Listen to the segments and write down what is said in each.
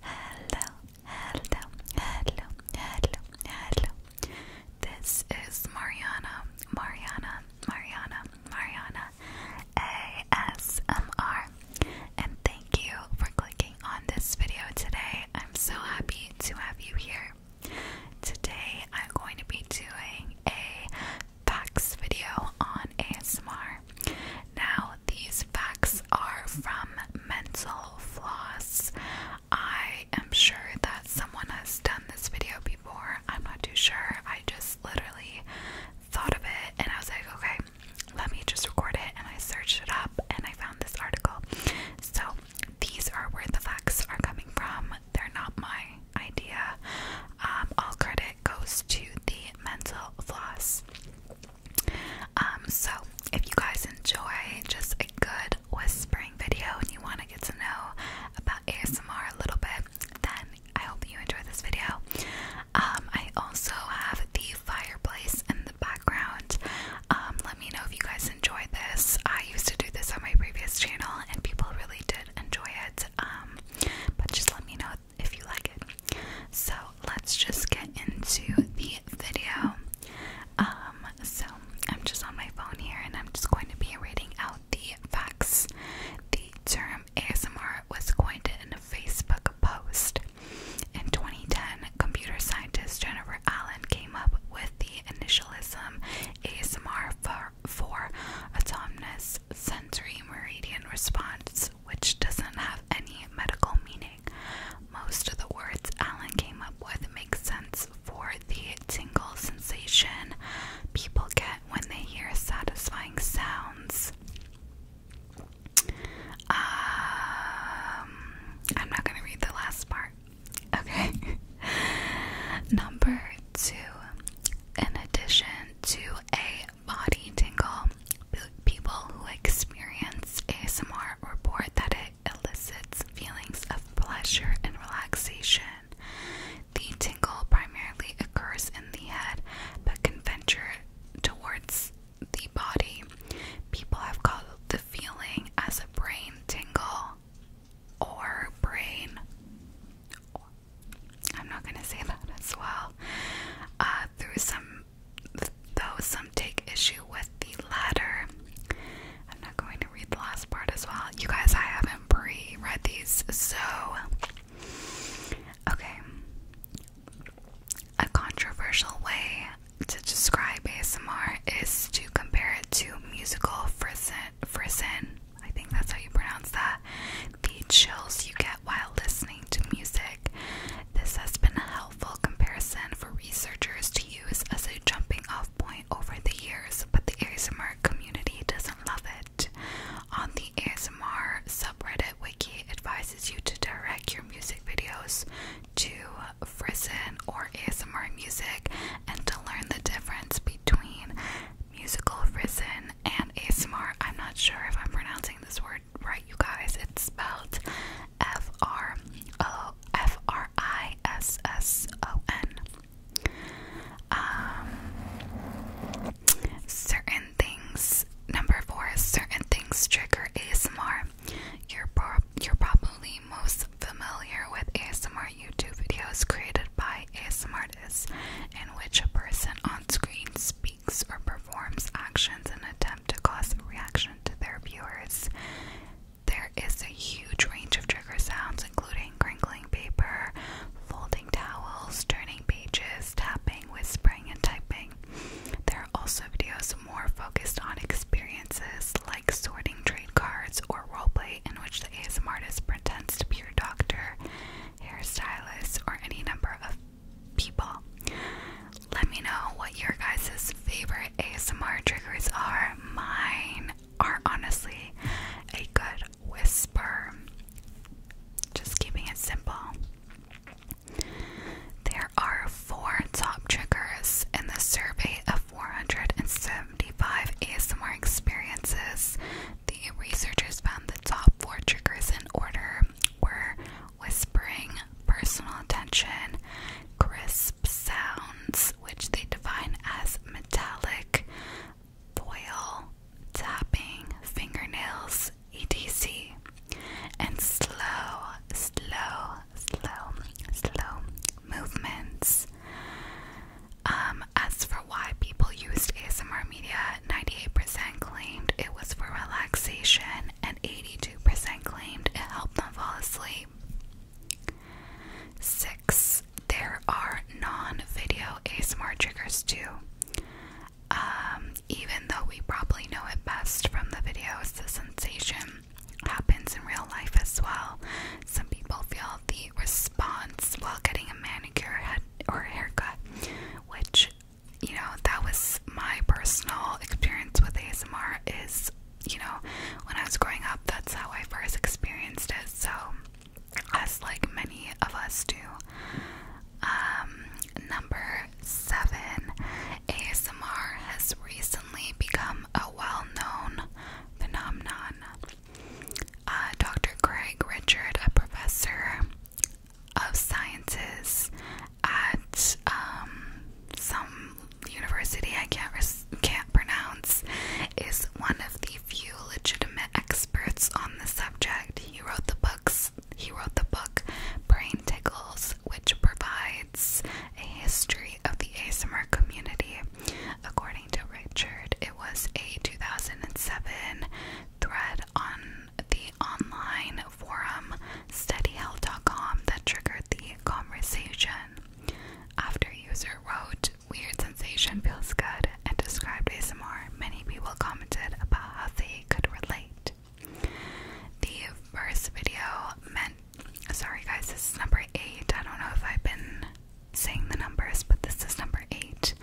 Hello, hello, hello, hello, hello. This is Mariana, Mariana, Mariana, Mariana ASMR. And thank you for clicking on this video today. I'm so happy to have you here. Today I'm going to be doing a facts video on ASMR. Now, these facts are from Mental Floss. I am sure that someone has done this video before. I'm not too sure. I just literally thought of it and I was like, okay, let me just record it. And I searched it up and I found this article. So, these are where the facts are coming from. They're not my idea. Um, all credit goes to the mental floss. Um, so if you guys enjoy just a good whispering video and you want to get to know about ASMR a little bit, then I hope you enjoy this video. Um, I also have the fireplace in the background. Um, let me know if you guys enjoy this. I used to do this on my previous channel and people really did enjoy it. but just let me know if you like it. So let's just get into the video. Um, so I'm just on my phone here and I'm just going to be reading out the facts. The term ASMR was coined in a Facebook post. In 2010, computer scientist Jennifer Allen came up with the initialism ASMR for for, for autonomous sensory meridian response, which doesn't have any medical meaning. Most of the words Alan came up with make sense for the tingle sensation people get when they hear satisfying sounds. Um, I'm not going to read the last part. Okay. Number two, in addition to a body tingle. People who experience ASMR report that it elicits feelings of pleasure and relaxation. The tingle primarily occurs in the head but can venture towards the body. People have called the feeling as a brain tingle or brain I'm not gonna say that as well. Uh, through some, though some take issue with the latter. I'm not going to read the last part as well. You guys, I haven't pre-read these, so okay. A controversial way to describe ASMR is to compare it to musical frisson, frisson I think that's how you pronounce that. The chills you get while listening to music. This has been a helpful comparison for researchers to use as a jumping off point over the years, but the ASMR community doesn't love it. On the ASMR subreddit wiki advises you to direct your music videos to Frizen or ASMR music and to learn the difference between musical risen and ASMR. I'm not sure if I'm pronouncing this word right, you guys. It's spelled F R L F R I S S O N. Um, certain things. Number four is certain things trigger ASMR. You're you're probably most familiar with ASMR YouTube videos created by ASM artists, in which a person on screen speaks or performs actions in an attempt to cause a reaction to their viewers. There is a huge range of trigger sounds, including crinkling paper, folding towels, turning pages, tapping, whispering, and typing. There are also videos more focused on experiences like sorting trade cards or roleplay, in which the ASM artist pretends to be doctor, hairstylist, or any number of people. Let me know what your guys' favorite ASMR triggers are. Mine are honestly a good whisper. Just keeping it simple. There are four top triggers in the survey of 475 ASMR experiences researchers found the top four triggers in order were whispering, personal attention, crisp sounds, which they define as metallic, foil, tapping, fingernails, etc., and slow, slow, slow, slow movements. Um, as for why people used ASMR media, 98% claimed it was for relaxation and 82% claimed it helped them fall asleep. Six, there are non video ASMR triggers too. Um, even though we probably know it best from the videos, the sensation happens in real life as well. Some people feel the response while getting a manicure head or haircut, which you know that was my personal experience with ASMR is you know when I was growing up that's how I first experienced it so as like many of us do um, number 7 ASMR has recently become a well-known phenomenon uh, Dr. Craig Richard, a professor of sciences at um, some university I can't can't pronounce, is one of the few legitimate experts on the subject. He wrote the books. He wrote the book Brain Tickles, which provides a history of the ASMR community. According to Richard, it was a 2007 thread on the online forum steadyhealth.com that triggered the conversation. After user wrote, Weird sensation feels good, and described ASMR, many people commented about how they could relate. The first video meant, sorry guys, this is number eight. I don't know if I've been saying the numbers, but this is number eight.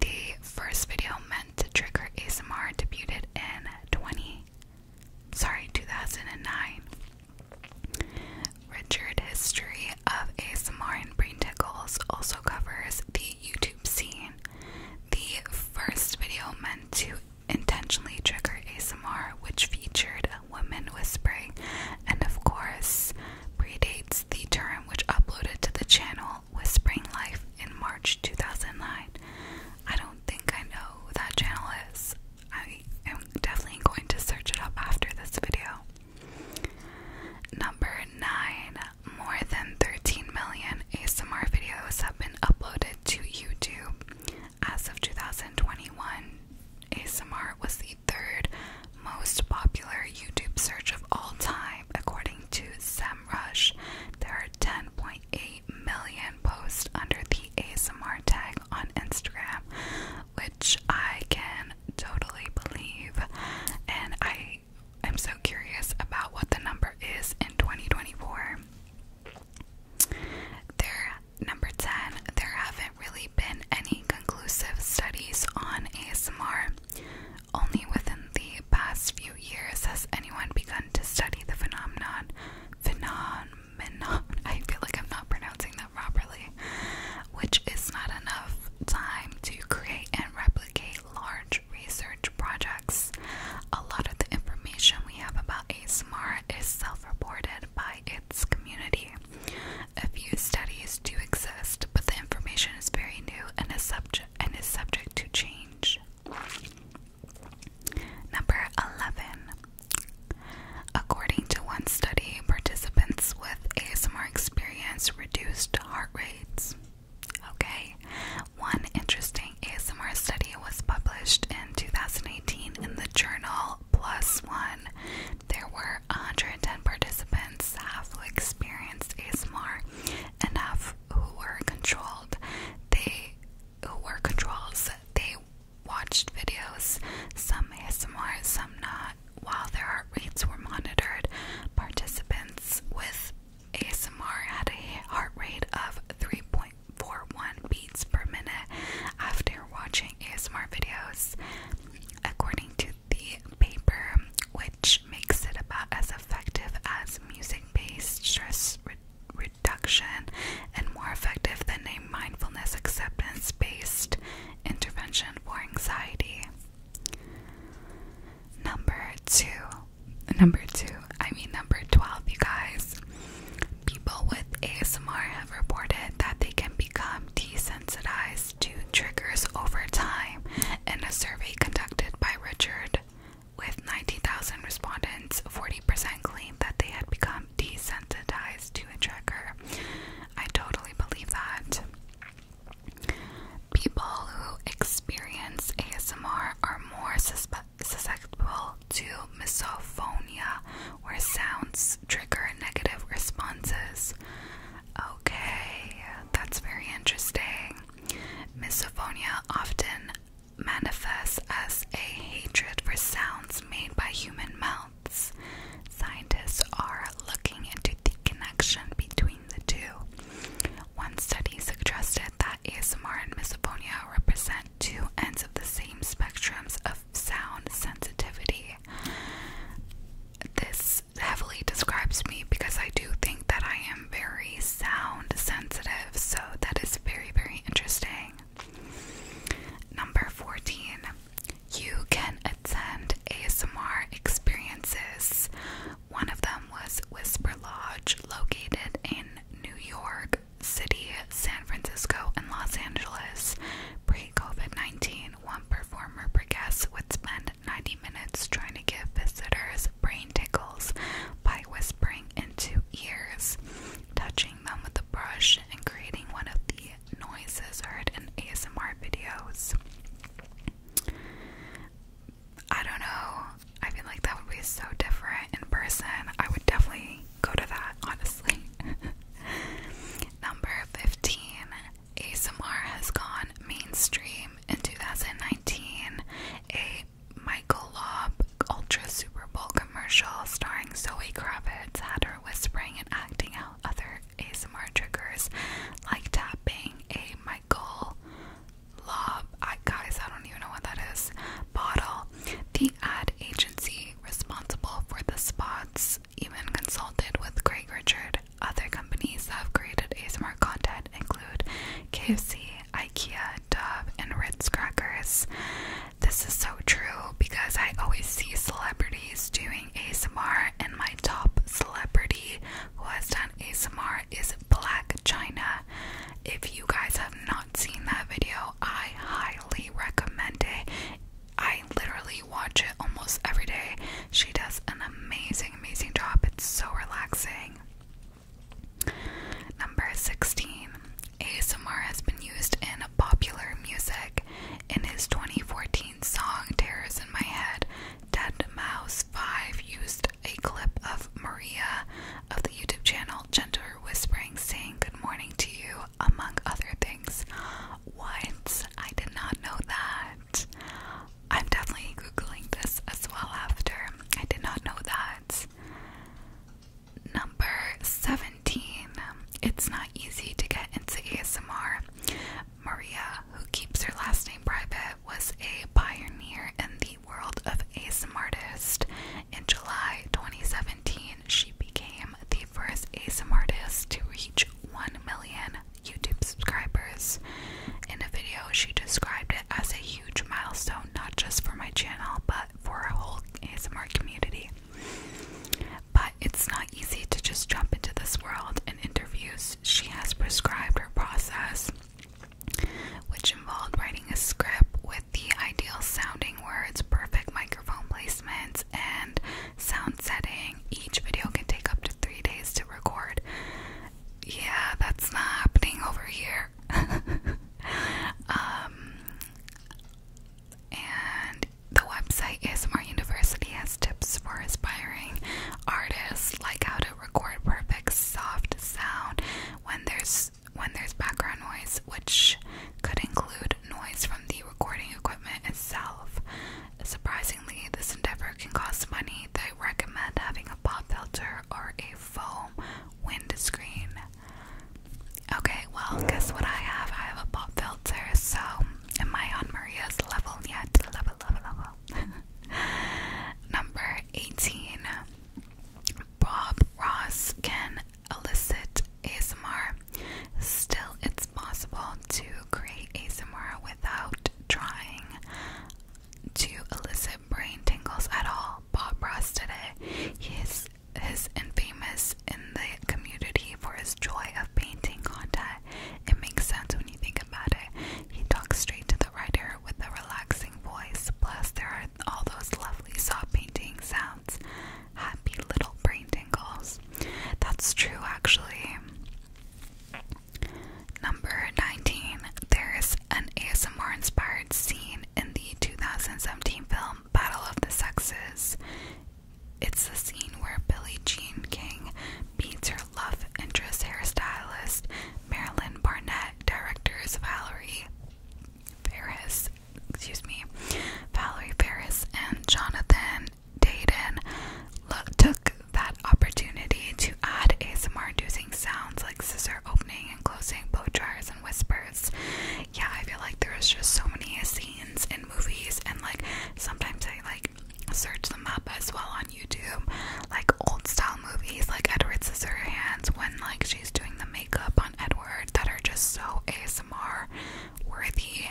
The first video meant to trigger ASMR debuted in 20 sorry 2009. Richard History of ASMR and Brain Tickles also covers the YouTube scene. The first video meant to intentionally trigger ASMR, which featured women whispering, and of course, predates the term which uploaded to the channel Whispering Life in March 2009. I don't think I know who that channel is. I am definitely going to search it up after this video. Number 9. More than 13 million ASMR videos have been uploaded to YouTube as of 2021 ASMR was the third most popular YouTube search of all time, according to SEMrush. There are 10.8 million posts under the ASMR tag on Instagram, which I can totally believe. And I am so curious about what the number is in 2024. There Number 10, there haven't really been any conclusive studies on ASMR. Only within the past few years has anyone begun to study the phenomenon. Phenomenon. I feel like I'm not pronouncing that properly. Which is not enough time to create and replicate large research projects. A lot of the information we have about ASMR is self reported by its community. A few studies do exist, but the information is very new and is subject and is subject to change. Number 11. According to one study, participants with ASMR experience reduced heart rates. Okay. One interesting ASMR study was published in 2018 in the journal plus one. There were 110 participants, who experienced ASMR and half who were controlled. They who were controls, they watched videos, some ASMR, some not. While their heart rates were monitored, participants with ASMR had a heart rate of 3.1 beats per minute after watching ASMR videos, according to the paper, which makes it about as effective as music based stress reduction and more effective than a mindfulness acceptance based intervention for anxiety. Number two, number two, I mean, number 12, you guys people with ASMR have reported that they can become desensitized to triggers over time in a survey conducted by Richard. With 90,000 respondents, 40% claimed that they had become desensitized to a trigger. I totally believe that. People who experience ASMR are more susceptible to misophonia, where sounds trigger negative responses. Okay, that's very interesting. Misophonia often manifests as a hatred for sounds made by human mouths. Scientists are looking into the connection between the two. One study suggested that ASMR and misophonia represent two ends of the same spectrums of sound sensitivity. This heavily describes me because I do think that I am very sound sensitive, so that is very, very interesting. Number 14, you can attend ASMR experiences. One of them was Whisper Lodge, located in New York, City, San Francisco, and Los Angeles. Pre COVID 19, one performer per guest would spend 90 minutes trying to give visitors brain tickles by whispering into ears, touching them with a brush, and creating one of the noises heard in ASMR videos. I don't know. I feel like that would be so different in person. I would definitely go to that, honestly. Number 15 ASMR has gone mainstream in 2019. A Michael Lobb Ultra Super Bowl commercial starring Zoe Kravitz had her whispering and acting out other ASMR triggers like tapping a Michael Lobb, I, guys, I don't even know what that is, bottle the ad agency responsible for the spots even consulted with Greg Richard. Other companies that have created ASMR content include KFC, IKEA, Dove, and Ritz Crackers. This is so true because I always see celebrities doing ASMR, and my top celebrity who has done ASMR is Black China. If you guys have not seen that video, I highly recommend it. I literally watch it almost every day. She does an amazing, amazing job. It's so relaxing. Number 16. ASMR has been used in popular music. In his 2014 song Tears in My Head, Dead Mouse 5 used a clip of Maria of the YouTube channel, Gentler Whispering, saying good morning to you, among other things. What? I did not know that. I'm definitely Googling this as well after. I did not know that. Number 17. It's not easy to get into ASMR. Maria, who keeps her last name private, was a pioneer in the world of ASMR artist in July 2017, she became the first ASMR artist to reach 1 million YouTube subscribers. In a video, she described it as a huge milestone, not just for my channel, but for a whole ASMR community. But it's not easy to just jump into this world. In interviews, she has prescribed her process which involved writing a script with the ideal sounding words, perfect microphone placements, and sound setting. Each video can take up to three days to record. Yeah, that's not happening over here. um, and the website is ASMR University has tips for aspiring artists, like how to record perfect soft sound when there's when there's background noise, which could include noise from the recording equipment itself. Surprisingly, this endeavor can cost money. They recommend having a pop filter or a foam windscreen. Okay, well, guess what I have? I have a pop filter, so am I on Maria's level yet? Level, level, level. Number 18 Bob Ross can elicit ASMR. Still, it's possible to create ASMR without trying to elicit brain tingles at all. Bob Ross today, he is, is infamous in the community for his joy of painting content. It makes sense when you think about it. He talks straight to the writer with a relaxing voice, plus, there are all those lovely soft painting sounds. Happy little brain tingles. That's true, actually. Number 19. There's an ASMR inspired scene in the 2017 film Battle of the Sexes. It's the scene where Billie Jean King beats her love interest hairstylist Marilyn Barnett directors Valerie Ferris, excuse me, Valerie Ferris and Jonathan Dayton look, took that opportunity to add ASMR using sounds like scissor opening and closing, blow dryers and whispers. Yeah, I feel like there is just so many scenes in movies and like sometimes I like search them up as well on YouTube, like old style style movies like Edward Scissorhands when like she's doing the makeup on Edward that are just so ASMR worthy.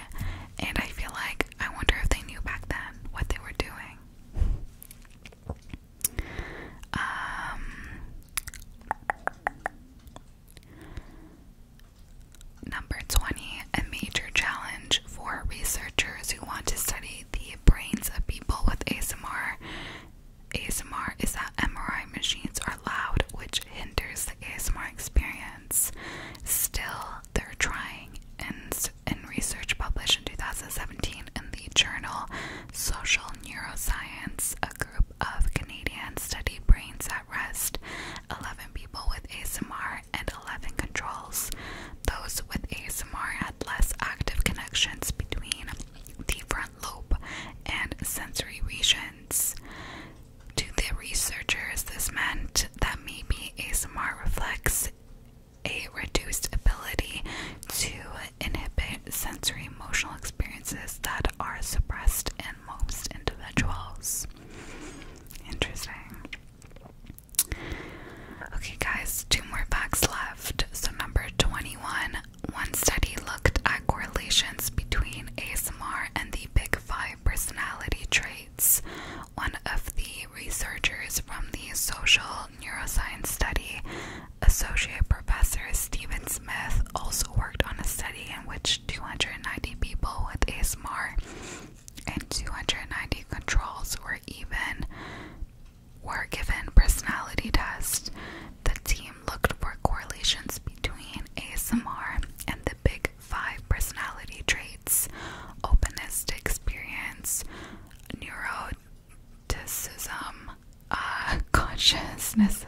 And I feel like I wonder if they knew back then what they were doing. Um, number 20, a major challenge for researchers who want to study the brains of people with ASMR ASMR is that MRI machines are loud, which hinders the ASMR experience. Still, they're trying. And in research published in 2017 in the journal Social Neuroscience, a group of Canadians studied brains at rest, 11 people with ASMR and 11 controls. Those with ASMR less active connections between the front lobe and sensory regions. To the researchers, this meant that maybe ASMR reflects a reduced ability to inhibit sensory emotional experiences that are suppressed in most individuals. Interesting. Okay, guys, two more facts left. So, number 21 one study looked at correlations between ASMR and the Big Five personality traits. One of the researchers from the Social Neuroscience Study, Associate Professor Stephen Smith, also worked on a study in which 290 people with ASMR and 290 controls were even were given personality tests, the team looked for correlations between ASMR and the Big Five personality traits openness to experience, neuroticism, uh, consciousness,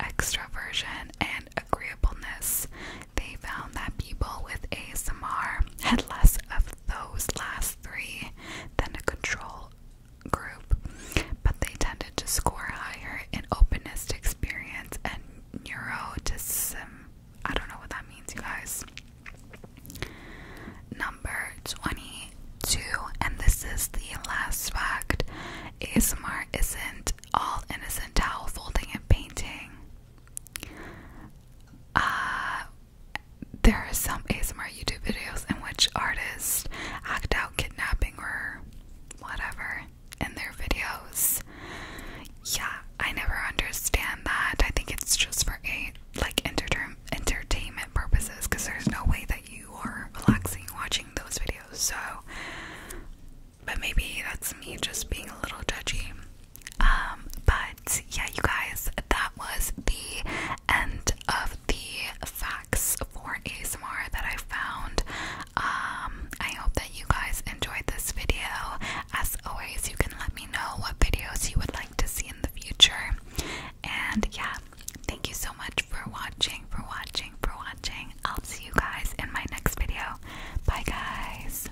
extraversion, and agreeableness. They found that people with ASMR had less of those last three than a control group, but they tended to score higher in openness to experience and neuroticism. I don't know what that means, you guys. Number 22, and this is the last fact ASMR isn't all innocent towel folding and painting. Uh, there are some ASMR YouTube videos in which artists act out kidnapping or whatever in their videos. Yeah, I never understand that. I think it's just for a like enter entertainment purposes because there's no way that you are relaxing watching those videos. So, but maybe that's me just being a little judgy. Um, but yeah, you guys, that was the end of the facts for ASMR that I found. Um, I hope that you guys enjoyed this video. As always, you can let me know what videos you would like to see in the future. And yeah, thank you so much for watching, for watching, for watching. I'll see you guys in my next video. Bye, guys.